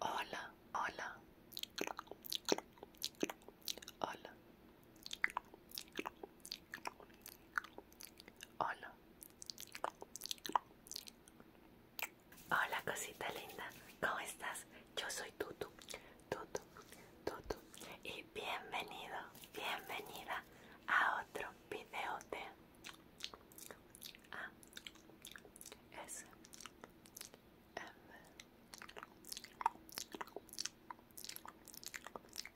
Hola, hola. Hola. Hola. Hola cosita linda, ¿cómo estás? Yo soy Tutu, Tutu, Tutu y bienvenido, bienvenida a otro video de a S M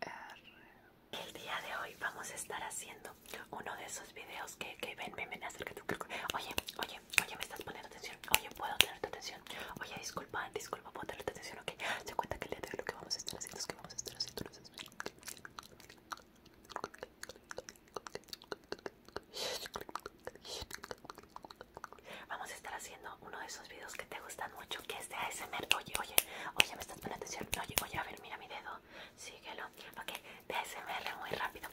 R. El día de hoy vamos a estar haciendo uno de esos videos que, que ven, de tu acércate. Oye, oye, oye, me estás poniendo atención. Oye, puedo tener tu atención. Oye, disculpa, disculpa, puedo tener tu atención, ok. Se cuenta que el día de hoy lo que vamos a estar haciendo es que vamos a estar haciendo. Vamos a estar haciendo uno de esos videos que te gustan mucho, que es de ASMR. Oye, oye, oye, me estás poniendo atención. Oye, oye, a ver, mira mi dedo. Síguelo. Ok, de ASMR muy rápido.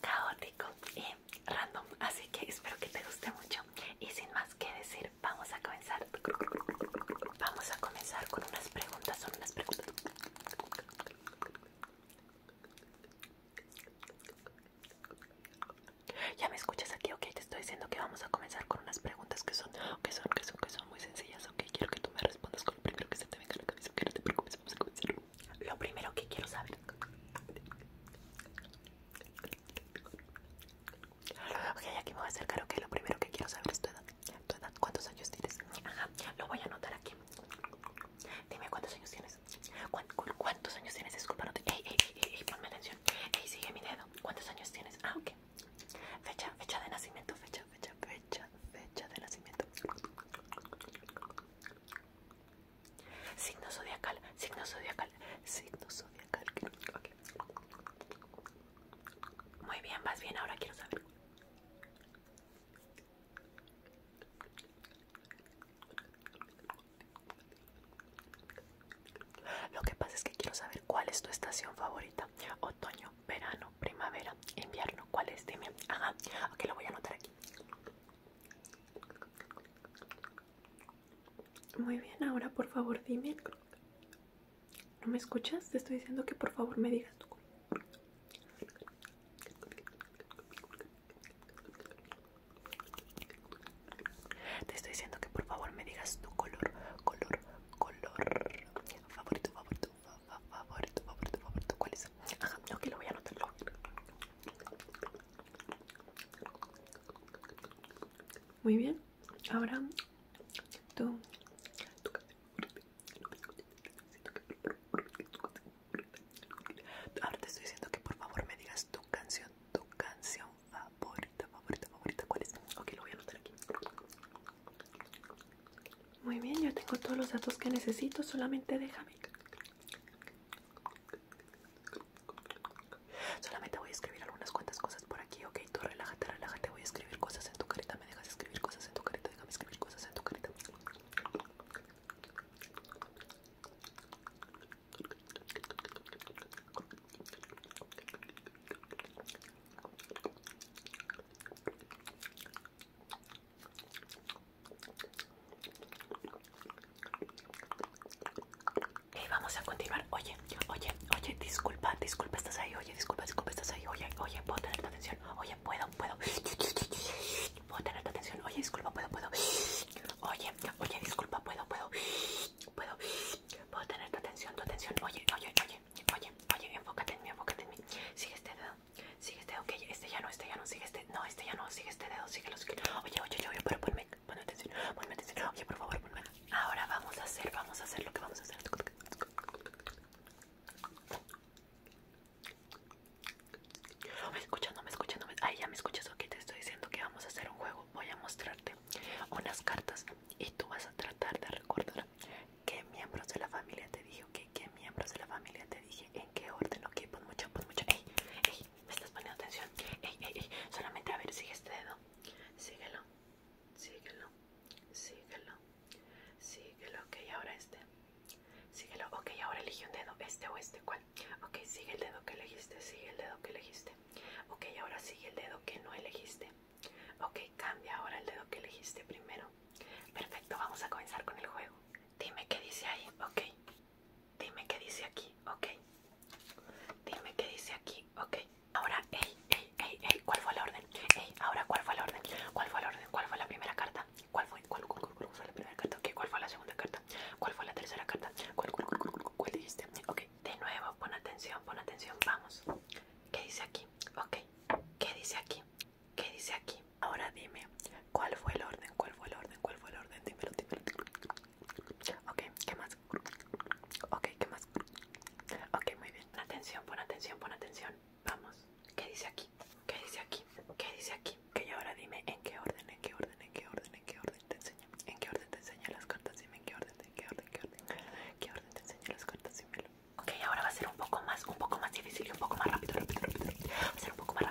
Caótico y random. Así que espero que te guste mucho. Y sin más que decir, vamos a comenzar. Vamos a comenzar con unas preguntas, son unas preguntas. Ya me escuchas aquí, ok, te estoy diciendo que vamos a comenzar con unas preguntas que son, que son, que son, que son muy sencillas, ok, quiero que tú me respondas con lo primero que se te venga a la cabeza, que no te preocupes, vamos a comenzar. Lo primero que quiero saber aquí lo primero que quiero saber es tu edad, cuántos años tienes, lo voy a anotar aquí, dime cuántos años tienes, cuántos años tienes, disculpa, no te, ey, ey, ey, ponme atención, ey, sigue mi dedo, cuántos años tienes, ah, ok, fecha, fecha de nacimiento, fecha, fecha, fecha, fecha de nacimiento, signo zodiacal, signo zodiacal, signo zodiacal, muy bien, vas bien, ahora quiero saber. Lo que pasa es que quiero saber cuál es tu estación favorita. Otoño, verano, primavera, invierno. ¿Cuál es? Dime. Ajá. Ok, lo voy a anotar aquí. Muy bien, ahora por favor dime. ¿No me escuchas? Te estoy diciendo que por favor me digas color Te estoy diciendo que por favor me digas tu color, color, color favorito, favorito, favorito, favorito, favorito. ¿Cuál es? Ajá, que lo voy a anotar. Muy bien. Ahora tú, tú Ahora te estoy diciendo que por favor me digas tu canción, tu canción favorita, favorita, favorita. ¿Cuál es? Ok, lo voy a anotar aquí. Muy bien, ya tengo todos los datos que necesito. Solamente déjame. Solamente voy a escribir algunas cuantas cosas por aquí, ok. Tú relájate, relájate. Voy a escribir cosas en tu carita. Me dejas escribir cosas en tu carita. Déjame escribir cosas en tu carita. Y vamos a continuar. Oye, oye, oye, disculpa, disculpa, estás ahí. Oye, disculpa, disculpa, estás ahí. Oye, oye, puedo tener tu atención. Oye, puedo, puedo. Puedo tener tu atención. Oye, disculpa, puedo, puedo. Oye, oye, disculpa, puedo, puedo. Puedo, tener tu atención, tu atención. Oye, oye, oye, oye, oye, enfócate en mí, enfócate en mí. Sigue este dedo, sigue este dedo. Ok, este ya no, este ya no, sigue este. No, este ya no, sigue este dedo, sigue los. Oye, oye, oye, pero ponme. Pon atención, ponme atención. Ok, por favor, ponme. Ahora vamos a hacer, vamos a hacer lo que vamos a hacer. Oh, me escuchas, no me escuchando. Ay, ya me escuchas, ok, te estoy diciendo que vamos a hacer un juego. Voy a mostrarte unas cartas y tú vas a tratar de recordar qué miembros de la familia te dije, ok, qué miembros de la familia te dije, en qué orden, ok, pon Mucha, pon mucha, Ey, ey, ¿Me estás poniendo atención? Ey, ey, ey. Solamente a ver, sigue este dedo. Síguelo. Síguelo. Síguelo. Síguelo. Ok, ahora este. Síguelo. Ok, ahora elige un dedo. Este o este. ¿Cuál? Ok, sigue el dedo que elegiste. Sigue el dedo que elegiste. Ok, ahora sigue el dedo que no elegiste. Ok, cambia ahora el dedo que elegiste primero. Perfecto, vamos a comenzar con el juego. Dime qué dice ahí. Ok. Dime qué dice aquí, ok. Dime qué dice aquí, ok. Ahora, ey, ey, ey, ey, ¿cuál fue la orden? Ey, ahora, ¿cuál fue la orden? ¿Cuál fue la orden? ¿Cuál fue la primera carta? ¿Cuál fue, cuál, fue la primera carta? ¿Qué? ¿Cuál fue la segunda carta? ¿Cuál fue la tercera carta? ¿Cuál, cuál, cuál, cuál, cuál dijiste? Ok, de nuevo, pon atención, pon atención, vamos. ¿Qué dice aquí? Ok, ¿qué dice aquí? ¿Qué dice aquí? Ahora dime, ¿cuál fue el orden? ¿Cuál fue el orden? ¿Cuál fue el orden? Dímelo, dímelo. Ok, ¿qué más? Ok, ¿qué más? Ok, muy bien. atención, pon atención, pon atención. Vamos. ¿Qué dice aquí? ¿Qué dice aquí? ¿Qué dice aquí? Que ahora dime en qué orden, en qué orden, en qué orden, en qué orden te enseño. En qué orden te enseño las cartas, dime en qué orden, en qué orden, en qué orden. qué orden te enseño las cartas, Ok, ahora va a ser un poco más, un poco más difícil y un poco más rápido, rápido, rápido. Va a ser un poco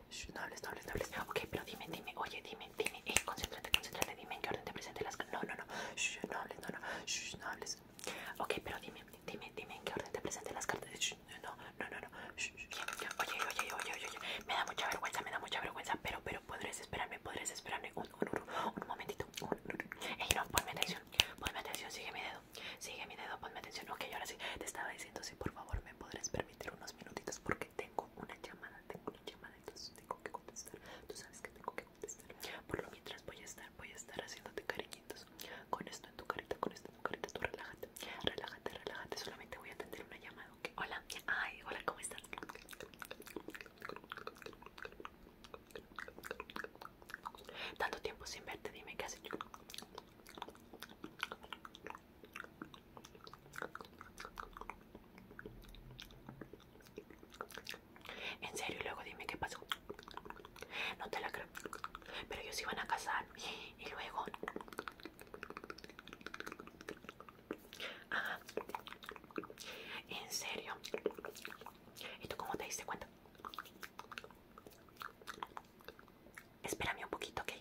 no hables, no hables, no hables. Ok, pero dime, dime, oye, dime, dime. eh concéntrate, concéntrate, dime en qué orden te presenté las No, no, no, no hables, no, no, hables. Ok, pero dime, dime, dime en qué orden te presenté las cartas. no, no, no, no. oye, oye, oye, oye, Me da mucha vergüenza, me da mucha vergüenza, pero, pero podrías esperarme, podrías esperarme un, un, un, un momentito. Ey, no, ponme atención, ponme atención, sigue mi dedo, sigue mi dedo, ponme atención. Ok, ahora sí, te estaba diciendo, sí, por favor, me podrás esperar permitir unos minutitos porque tengo una llamada, tengo una llamada, entonces tengo que contestar. Tú sabes que tengo que contestar. Por lo mientras voy a estar, voy a estar haciéndote cariñitos. Con esto en tu carita, con esto en tu carita, tú relájate, relájate, relájate. Solamente voy a atender una llamada. ¿okay? Hola, ay, hola, ¿cómo estás? Tanto tiempo sin verte, dime qué haces. En serio, y luego dime qué pasó. No te la creo. Pero ellos iban a casar. Y luego. En serio. ¿Y tú cómo te diste cuenta? Espérame un poquito, ¿ok?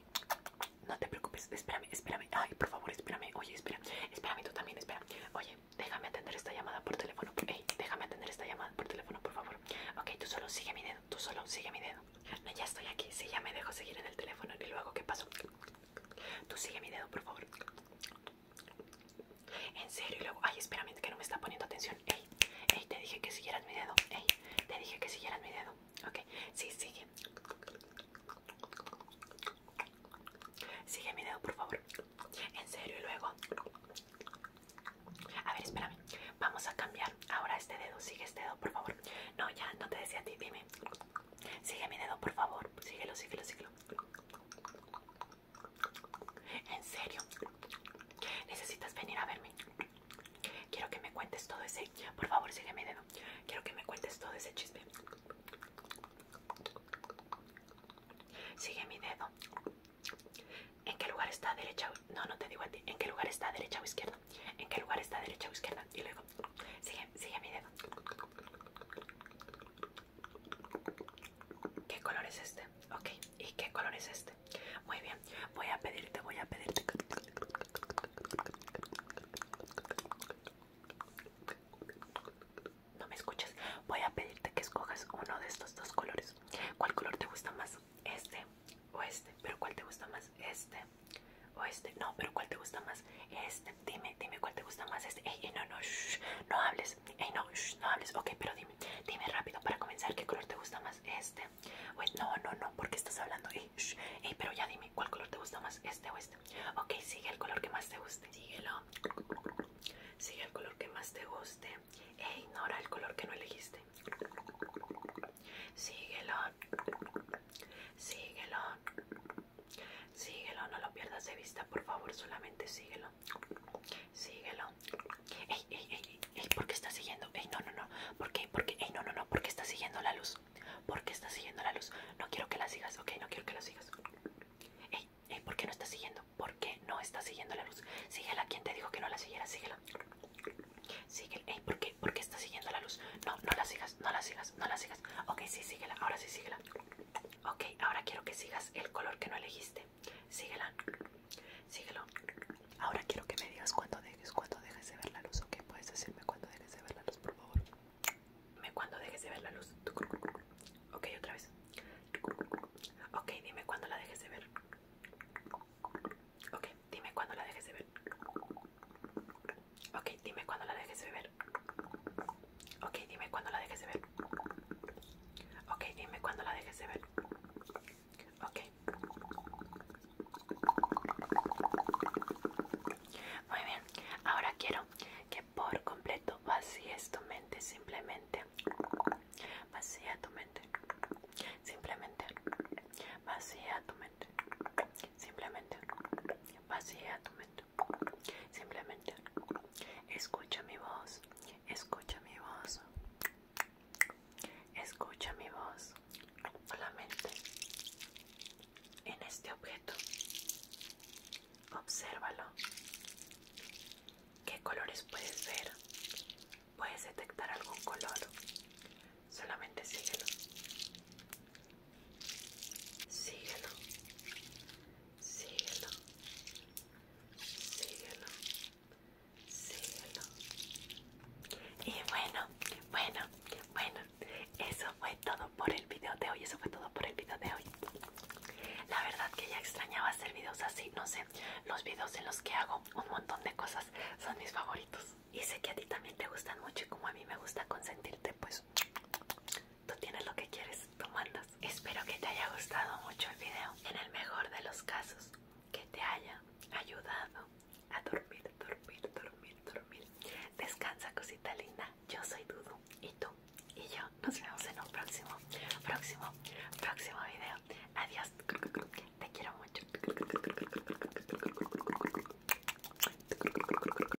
No te preocupes, espérame, espérame. Ay, por favor, espérame. Oye, espera, espérame tú también, espera. Oye, déjame atender esta llamada por teléfono. Ey, déjame atender esta llamada por teléfono, por favor. Ok, tú solo sigue mi dedo, tú solo sigue mi dedo. ya estoy aquí. si ya me dejo seguir en el teléfono y luego, ¿qué pasó? Tú sigue mi dedo, por favor. En serio, y luego, ay, espérame, que no me está poniendo atención. Ey, ey, te dije que siguieras mi dedo. Ey, te dije que siguieras mi dedo. Ok, sí, sigue. Sigue mi dedo, por favor. En serio, y luego. A ver, espérame. Vamos a cambiar ahora este dedo. Sigue este dedo, por favor. No, ya, no te decía a ti, dime. Sigue mi dedo, por favor. Síguelo, síguelo, síguelo. En serio. Necesitas venir a verme. Quiero que me cuentes todo ese. Por favor, sigue mi dedo. Quiero que me cuentes todo ese chisme. Sigue mi dedo. ¿En qué lugar está derecha? No, no te digo a ti. ¿En qué lugar está derecha o izquierda? ¿En qué lugar está derecha o izquierda? Y luego, sigue, sigue mi dedo. ¿Qué color es este? Ok, ¿y qué color es este? Muy bien, voy a pedirte, voy a pedirte. No me escuchas. Voy a pedirte que escojas uno de estos dos colores. ¿Cuál color te gusta más? Este o este. Pero ¿cuál te gusta más? Este o este. No, pero ¿cuál te gusta más? Este. Dime, dime cuál te gusta más. Este. no, no, no hables. Ey, no, no hables. Ok, pero dime, dime rápido para comenzar qué color te gusta más. Este. Wait, este? no, no, no, porque estás hablando. Ey, pero ya dime, ¿cuál color te gusta más? Este o este. Ok, sigue el color que más te guste. Síguelo. Sigue el color que más te guste e ignora el color que no elegiste. Síguelo. Síguelo. Síguelo, no lo pierdas de vista, por favor, solamente síguelo síguelo, Ey, ey, ¿por qué estás siguiendo? Ey, no, no, no, ¿por qué? ¿Por qué? Ey, no, no, no, ¿por qué estás siguiendo la luz? ¿Por qué estás siguiendo la luz? No quiero que la sigas, ok, no quiero que la sigas. Ey, ¿por qué no estás siguiendo? ¿Por qué no estás siguiendo la luz? Síguela, ¿quién te dijo que no la siguiera? Síguela. Síguela, ¿por qué? ¿Por qué estás siguiendo la luz? No, no la sigas, no la sigas, no la sigas. Ok, sí, síguela, ahora sí, síguela. Ok, ahora quiero que sigas el color que no elegiste. Síguela. Síguelo. Ahora quiero que me digas cuándo dejes, cuando dejes de ver la luz, ¿ok? Puedes decirme cuándo dejes de ver la luz, por favor. Dime cuándo dejes de ver la luz. Ok, otra vez. Ok, dime cuándo la dejes de ver. Ok, dime cuándo la dejes de ver. Ok, dime cuándo la dejes de ver. Ok, dime cuando la dejes de ver. Ok, dime cuando la dejes de ver. Ok. Muy bien. Ahora quiero que por completo vacíes tu mente simplemente. Vacía tu mente. Simplemente. Vacía tu mente. Simplemente. Vacía tu mente. Simplemente. Escucha mi voz, escucha mi voz, escucha mi voz, solamente en este objeto. Obsérvalo. ¿Qué colores puedes ver? ¿Puedes detectar algún color? Solamente síguelo. Síguelo síguelo, síguelo, síguelo. Y bueno, bueno, bueno, eso fue todo por el video de hoy, eso fue todo por el video de hoy. La verdad que ya extrañaba hacer videos así, no sé, los videos en los que hago un montón de cosas son mis favoritos. Y sé que a ti también te gustan mucho y como a mí me gusta consentirte, pues Tú tienes lo que quieres, tú mandas. Espero que te haya gustado mucho el video. En el mejor de los casos, que te haya ayudado a dormir, dormir, dormir, dormir. Descansa, cosita linda. Yo soy Dudu y tú y yo nos vemos en un próximo, próximo, próximo video. Adiós. Te quiero mucho.